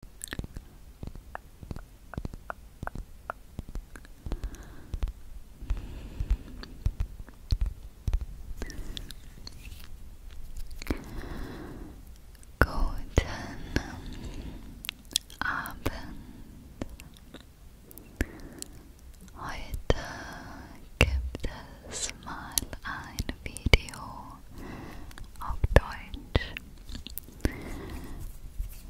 Guten Abend. Heute gibt es mal ein Video auf Deutsch.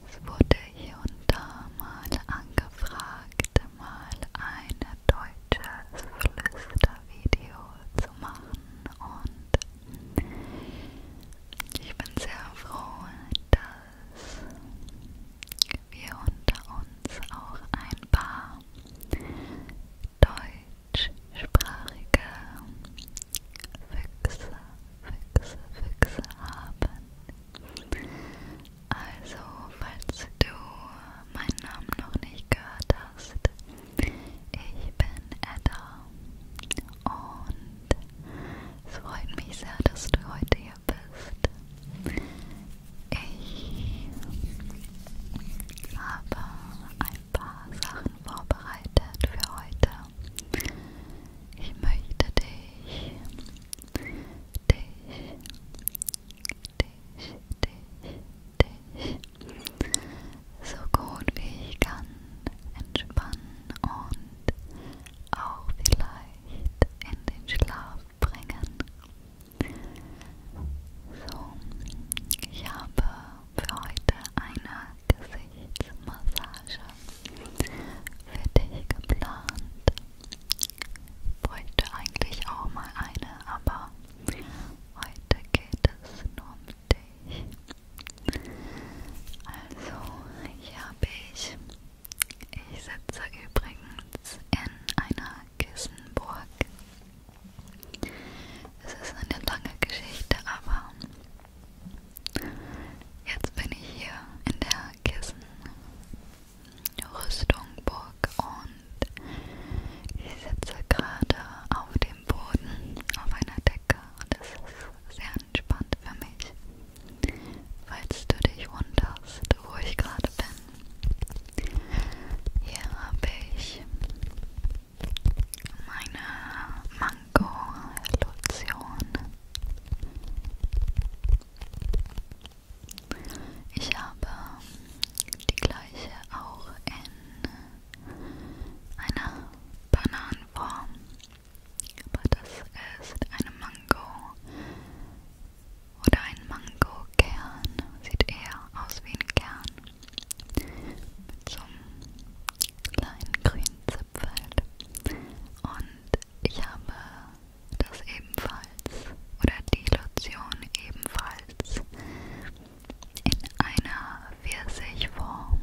Es wurde hier und da mal angefragt, mal ein deutsches Flüstervideo zu machen und ich bin sehr froh, dass wir unter uns auch ein paar deutschsprachige Füchse Füchse, Füchse haben. Also, falls du meinen Namen noch nicht gehört hast, ich bin Edda und es freut mich sehr, dass du heute hier bist. Ich habe ein paar Sachen vorbereitet für heute. Ich möchte dich, dich, dich, dich, dich so gut wie ich kann entspannen und auch vielleicht in den Schlaf bringen. So, ich habe für heute eine Gesichtsmassage für dich geplant. Ich wollte eigentlich auch mal eine, aber heute geht es nur um dich. Also, hier habe ich, ich sitze übrigens in einer Kissenburg. Es ist eine lange Geschichte, aber Jetzt bin ich hier in der Kissenrüstung Burg und ich sitze gerade auf dem Boden auf einer Decke und es ist sehr entspannt für mich. Falls du dich wunderst, wo ich gerade bin. Hier habe ich meine Mango-Lotion. Ich habe die gleiche auch in einer Bananenform, aber das ist eine Mango oder ein Mango-Kern. Sieht eher aus wie ein Kern mit so einem kleinen grünen Zipfel. Und ich habe das ebenfalls, oder die Lotion ebenfalls, in einer Pfirsichform.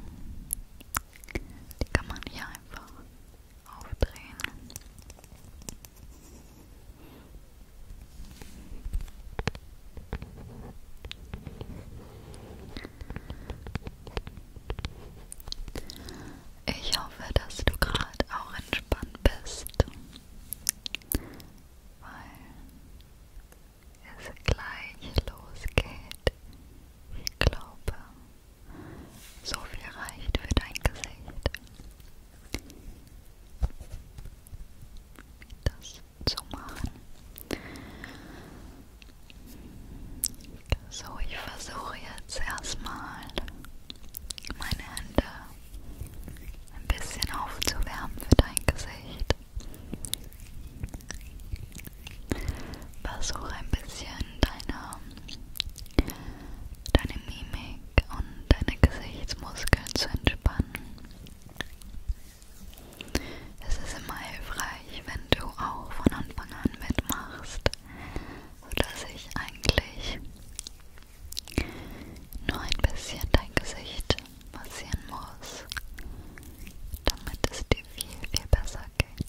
Die kann man hier einfach aufdrehen. Ich hoffe, dass du gerade auch entspannt bist, weil es gleich losgeht. Ich glaube, so viel reicht für dein Gesicht. Das zu machen. So, ich versuche jetzt erstmal meine Hände ein bisschen aufzuwärmen für dein Gesicht. Versuche ein bisschen deine, deine Mimik und deine Gesichtsmuskeln zu entspannen. Es ist immer hilfreich, wenn du auch von Anfang an mitmachst, sodass ich eigentlich nur ein bisschen dein Gesicht massieren muss, damit es dir viel, viel besser geht.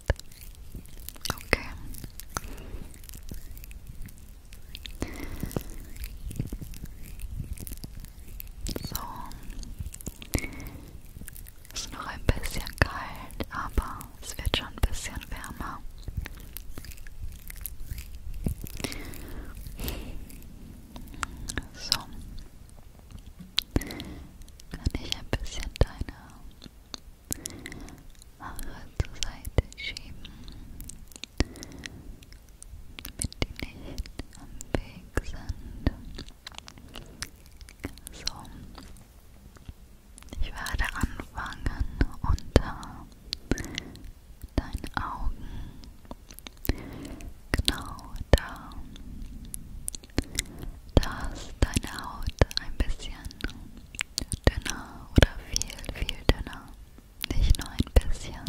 Okay. So. Ist noch ein bisschen kalt, aber es wird schon ein bisschen wärmer. So. Kann ich ein bisschen deine Haare zur Seite schieben, damit die nicht am Weg sind? So. Ich werde anfangen unter deinen Augen. Genau da. Da ist deine Haut ein bisschen dünner oder viel, viel dünner. Nicht nur ein bisschen.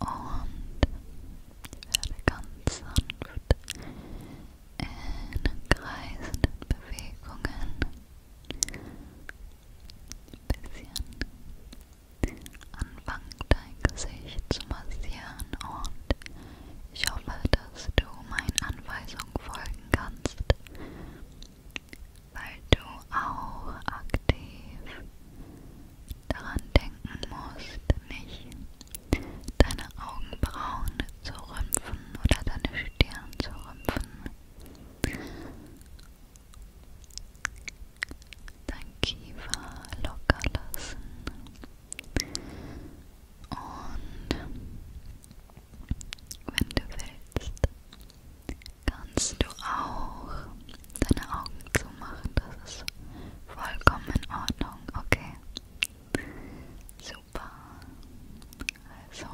Und ich werde ganz sanft in kreisenden Bewegungen ein bisschen anfangen, dein Gesicht zu massieren und ich hoffe, dass du meinen Anweisungen folgen kannst, weil du auch aktiv daran denken musst, nicht deine Augenbrauen zu rümpfen oder deine Stirn zu rümpfen. Dein Kiefer locker lassen. Und wenn du willst, kannst du auch deine Augen zumachen. Das ist vollkommen in Ordnung, okay? Super. Also,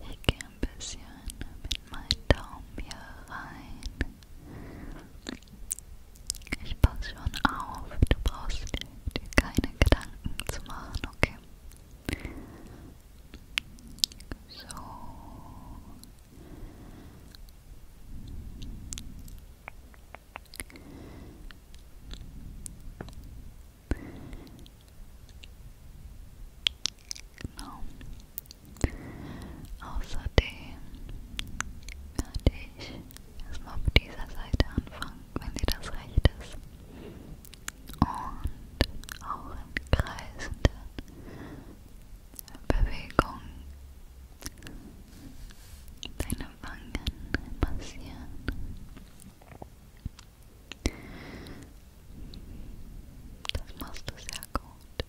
ich gehe ein bisschen mit meinen Daumen hier rein. Ich passe schon auf, du brauchst dir keine Gedanken zu machen, okay? So. Genau. Außerdem werde ich erstmal auf dieser Seite anfangen, wenn sie das recht ist. Und auch in kreisenden Bewegungen deine Wangen massieren. Das machst du sehr gut.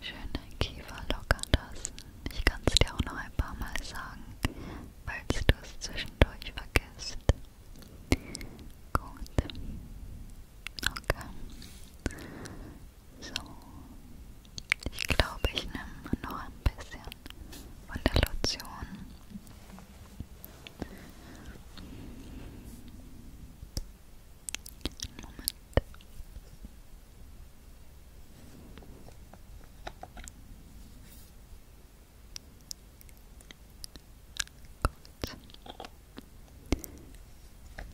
Schön dein Kiefer locker lassen. Ich kann es dir auch noch ein paar Mal sagen, falls du es zwischendurch vergisst. Gut. Okay. So, ich glaube, ich nehme noch ein bisschen von der Lotion.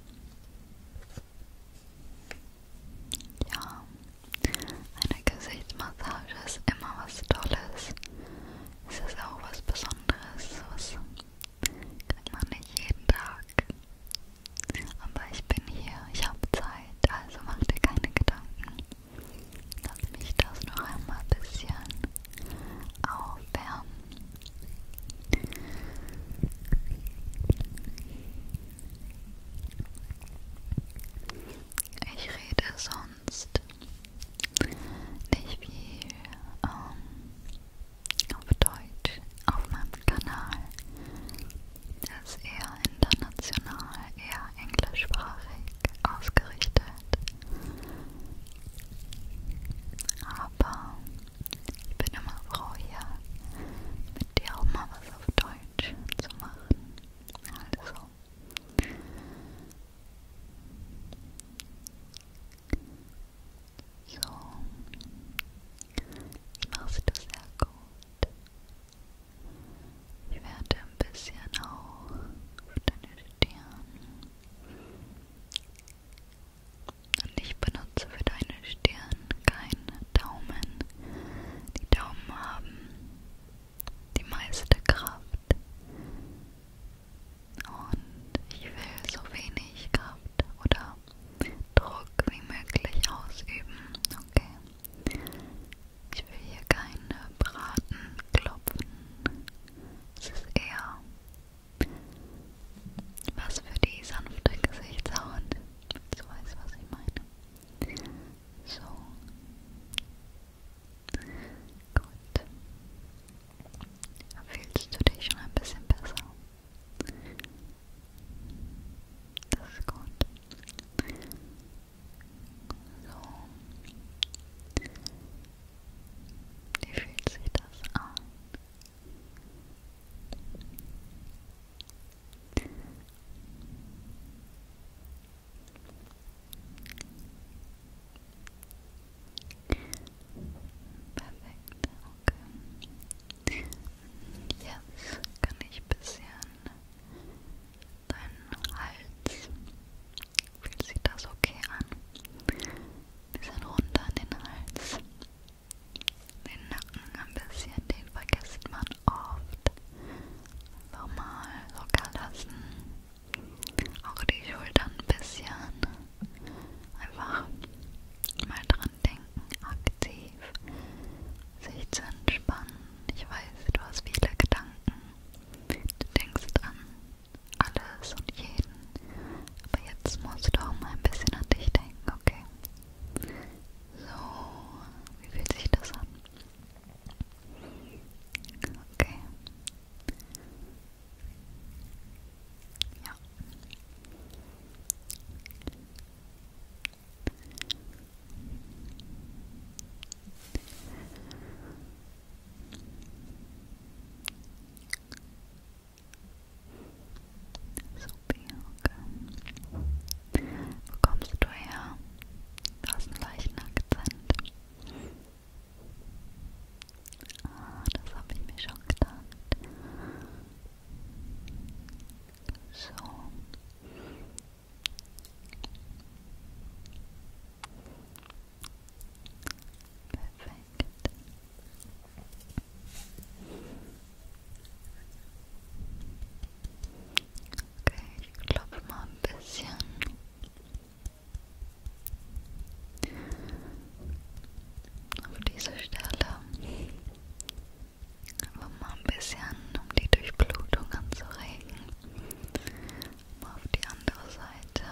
Moment. Gut. Ja, eine Gesichtsmassage ist immer was Tolles. Es ist auch was Besonderes. Was kriegt man nicht jeden Tag. Aber ich bin hier, ich habe Zeit, also mach dir keine Gedanken. Lass mich das noch einmal ein bisschen aufwärmen. Ich rede sonst nicht viel ähm, auf Deutsch auf meinem Kanal. Das ist eher international, eher englischsprachig ausgerichtet. Aber ich bin immer froh, hier mit dir auch mal was auf Deutsch Deutsch zu machen. Also. So. Machst du sehr gut. Ich werde ein bisschen auch auf deine Stirn. Und ich benutze für deine Stirn keinen Daumen. Die Daumen haben die meiste Kraft. Und ich will so wenig Kraft oder Druck wie möglich ausüben. Okay. Ich will hier keine Braten klopfen. Es ist eher was für die sanfte Gesichtshaut. Du weißt, was ich meine. So. Gut. Fühlst du dich schon ein bisschen besser? Das ist gut. So. Wie fühlt sich das an? Perfekt, okay. Jetzt kann ich ein bisschen deinen Hals. Fühlt sich das okay an? Ein bisschen runter an den Hals. Den Nacken ein bisschen, den vergisst man oft. Einfach mal locker lassen. Auch die Schultern ein bisschen. Einfach mal dran denken, aktiv sich zu entspannen. Ich weiß, du hast viele Gedanken. Du denkst an alles und jeden. Aber jetzt musst du auch mal ein bisschen an dich denken, okay? So, wie fühlt sich das an? Okay. Ja. So. Bianca. Wo kommst du her? Du hast einen leichten Akzent. Ah, das habe ich mir schon gedacht. So. Perfekt. Okay, ich klopfe mal ein bisschen. Auf diese Stelle. Aber mal ein bisschen, um die Durchblutung anzuregen. Mal auf die andere Seite.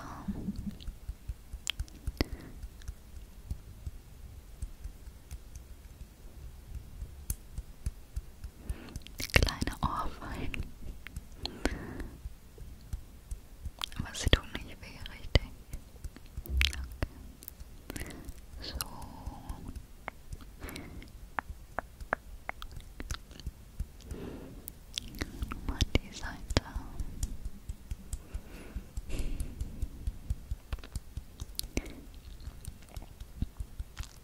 Kleine Ohrfeigen. Aber sie tun nicht weh, richtig. Okay. So. Mal die Seite.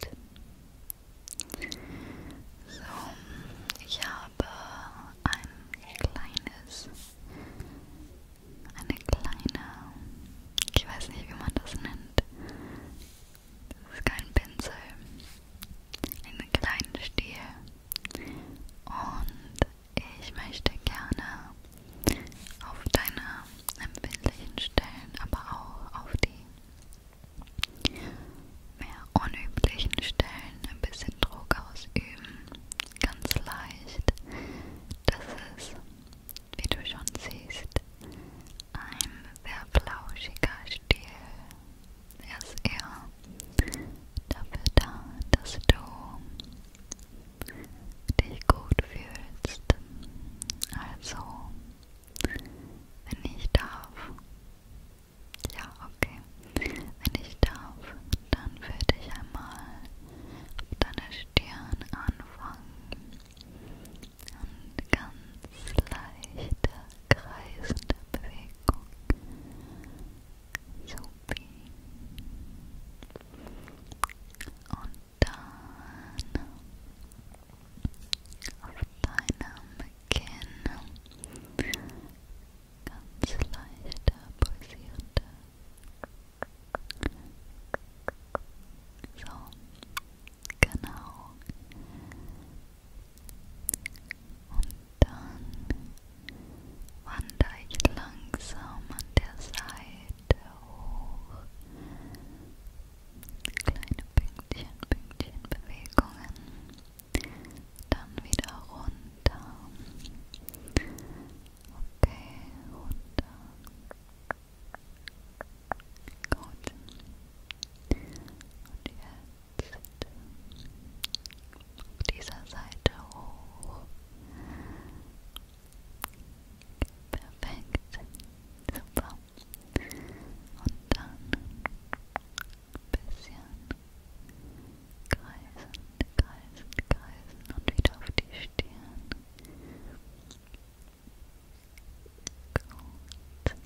Gut. So, ich habe ein kleines, eine kleine, ich weiß nicht, wie man das nennt. Das ist kein Pinsel, einen kleinen Stiel und ich möchte gerne auf deine empfindlichen Stellen, aber auch auf die mehr unüblichen Stellen ein bisschen Druck ausüben. Ganz leicht. Das ist, wie du schon siehst, ein sehr flauschiger Stil. Er ist eher dafür da, dass du dich gut fühlst. Also, wenn ich darf, ja, okay, wenn ich darf, dann würde ich einmal auf deine Stirn anfangen und ganz leichte, kreisende Bewegung. Supi. Und dann auf deinem Kinn ganz leichte pulsierende so, genau und dann wandere ich langsam an der Seite Schulter hoch. Kleine Pünktchen, Pünktchen Bewegungen. Dann wieder runter. Okay, runter. Gut. Und jetzt auf dieser Seite hoch. Perfekt. Super. Und dann bisschen kreisen, kreisen, kreisen und wieder auf die Stirn. Gut.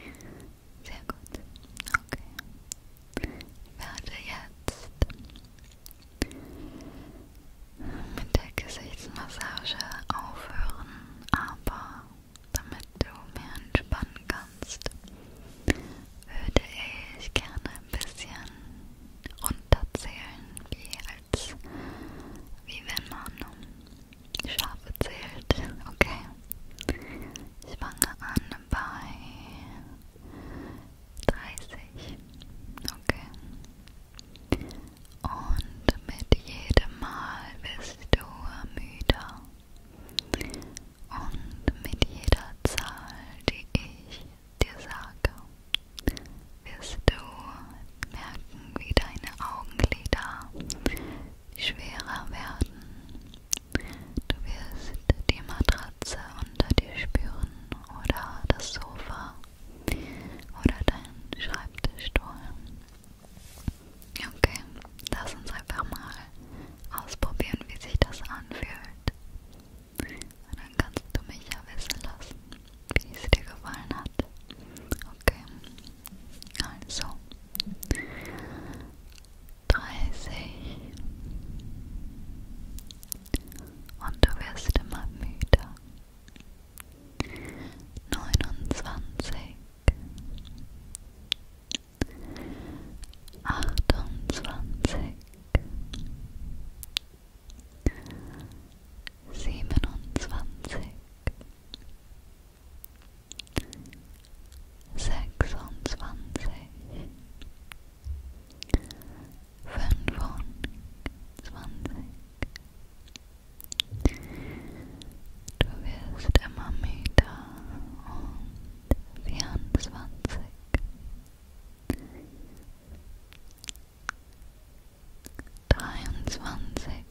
Gut. Sehr gut. Okay. Ich werde jetzt mit der Gesichtsmassage aufhören, aber damit du mehr entspannen kannst, würde ich gerne ein bisschen runterzählen, wie als wie wenn man Schafe zählt. Okay. Ich fange an bei 30. Okay. Und mit jedem Mal wirst du müder. Und mit jeder Zahl, die ich dir sage, wirst du merken, wie deine Augenlider schwerer werden. Du wirst die Matratze unter dir spüren oder das Sofa oder deinen Schreibtischstuhl. Okay, lass uns einfach mal ausprobieren, wie sich das anfühlt. Und dann kannst du mich ja wissen lassen, wie es dir gefallen hat. Okay, also dreißig und du wirst immer müder. Neunundzwanzig, achtundzwanzig, siebenundzwanzig, sechsundzwanzig, fünfundzwanzig. Du wirst immer müder und vierundzwanzig. Dreiundzwanzig,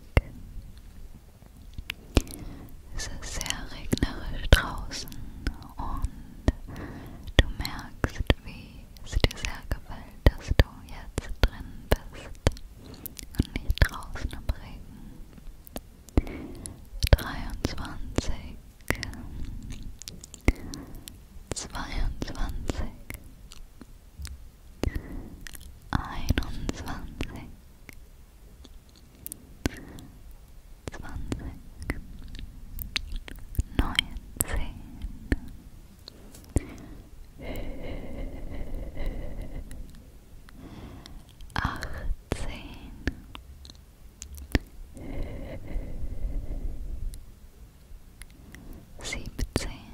es ist sehr regnerisch draußen und du merkst, wie es dir sehr gefällt, dass du jetzt drin bist und nicht draußen im Regen. 23 22 21 zwanzig, neunzehn, achtzehn, siebzehn.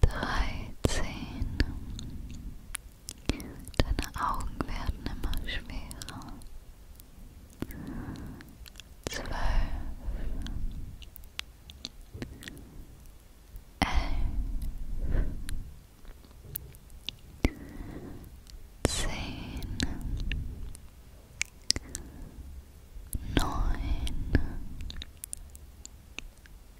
dreizehn. Deine Augen werden immer schwerer. Zwölf. Elf. Zehn. Neun.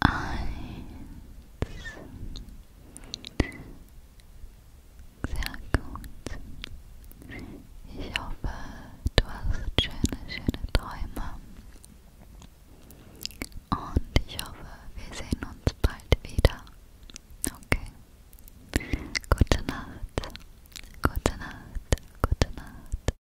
Eins. Sehr gut. Ich hoffe, du hast schöne, schöne Träume. Und ich hoffe, wir sehen uns bald wieder. Okay. Gute Nacht. Gute Nacht. Gute Nacht.